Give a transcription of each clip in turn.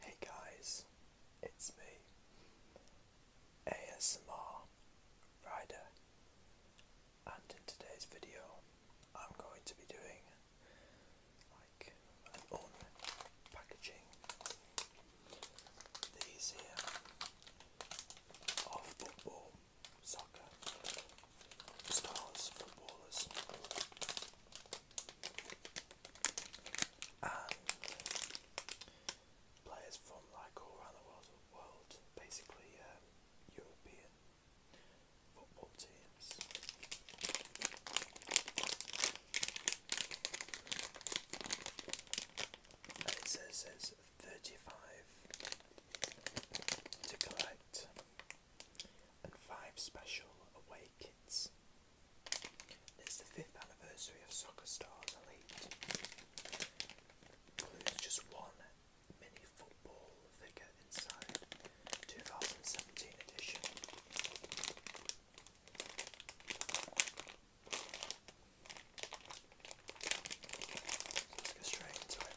Hey guys, it's me, ASMR Rider, and in today's video I'm going to be doing like an unpackaging. These here are football, soccer, stars, footballers players from like all around the world, basically um, European football teams. And it says there's 35 to collect and five special away kits. It's the fifth anniversary of Soccer Stars Elite. Includes just one mini football figure inside 2017 edition. let's go straight into it.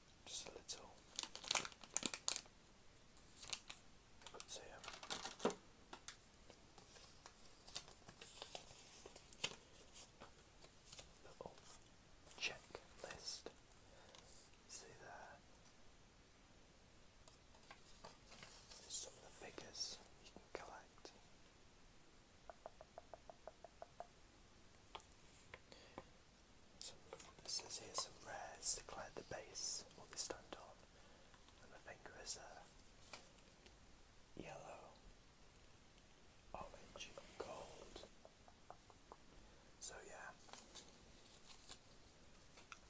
checklist. See there. some of the figures you can collect. This is here some rares Declared the base or they stand on, and the finger is uh, yellow, orange, and gold. So yeah,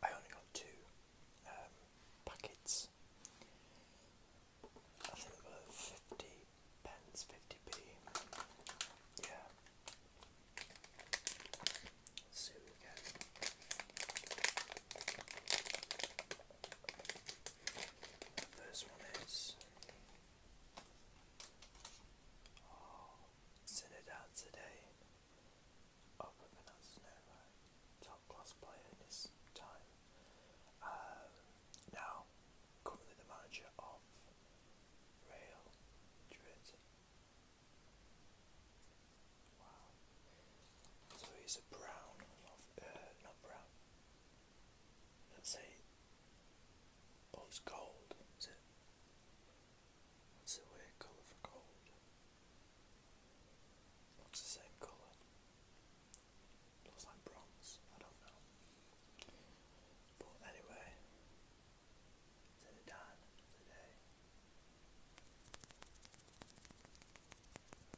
I only got two um, packets. I think they fifty pence, 50p. Yeah. Zoo again. First one is. Oh, Zinedine Zidane. Oh, Top class player in time. Um, now, currently the manager of Real Madrid. Wow. So he's a brown uh, not brown. Let's say oh gold, What's the weird colour for gold? What's the same colour? looks like bronze, I don't know. But anyway, to the done today.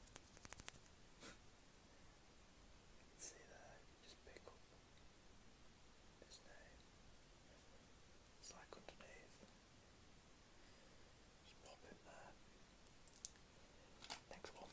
see there, just pick up his name. It's like underneath. Just pop it there. Next one.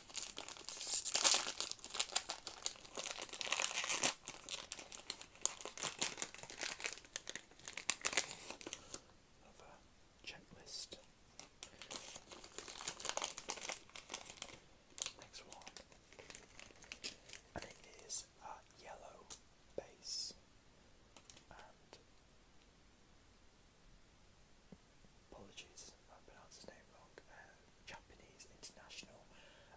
of a checklist. Next one, and it is a yellow base apologies, I have pronounced his name wrong, uh, Japanese international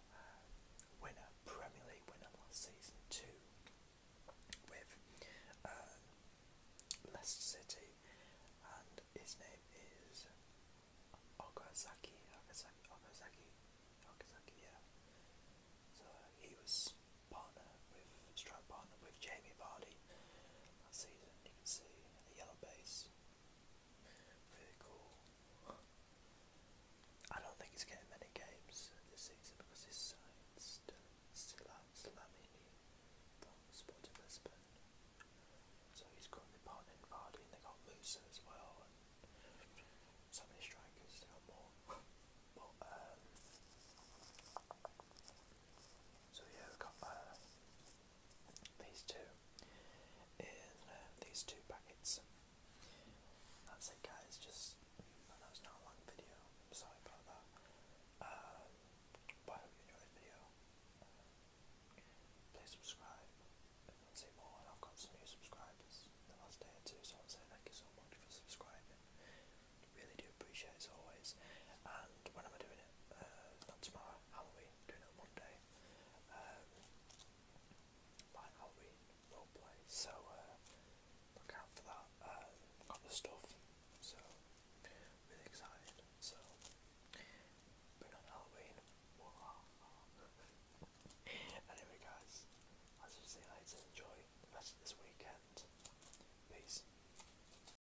uh, winner, Premier League winner last season too, with uh, Leicester City, and his name is Okazaki, Okazaki, Okazaki, Okazaki, yeah. So he was partner with, strong partner with Jamie Vardy last season, you can see a yellow base. Very cool. I don't think he's getting many games this season because his side's still, still out Slamini from Sporting Lisbon. So he's currently partnering Vardy and they got Musa as well. And so many strikers, they got more. But, um, so yeah, we've got uh, these two in uh, these two packets. That's it, guys. Just I know not a long video. sorry about that. Um, I hope you enjoyed the video. Uh, please subscribe if see more. I've got some new subscribers the last day or two, so I want to say thank you so much for subscribing. Really do appreciate as always. And when am I doing doing it, uh, not tomorrow, Halloween, doing it Monday. Um, my Halloween roleplay, so uh, look out for that. Um, got the stuff, so really excited. So, been on Halloween. anyway, guys, as you see, later, enjoy the rest of this weekend. Peace.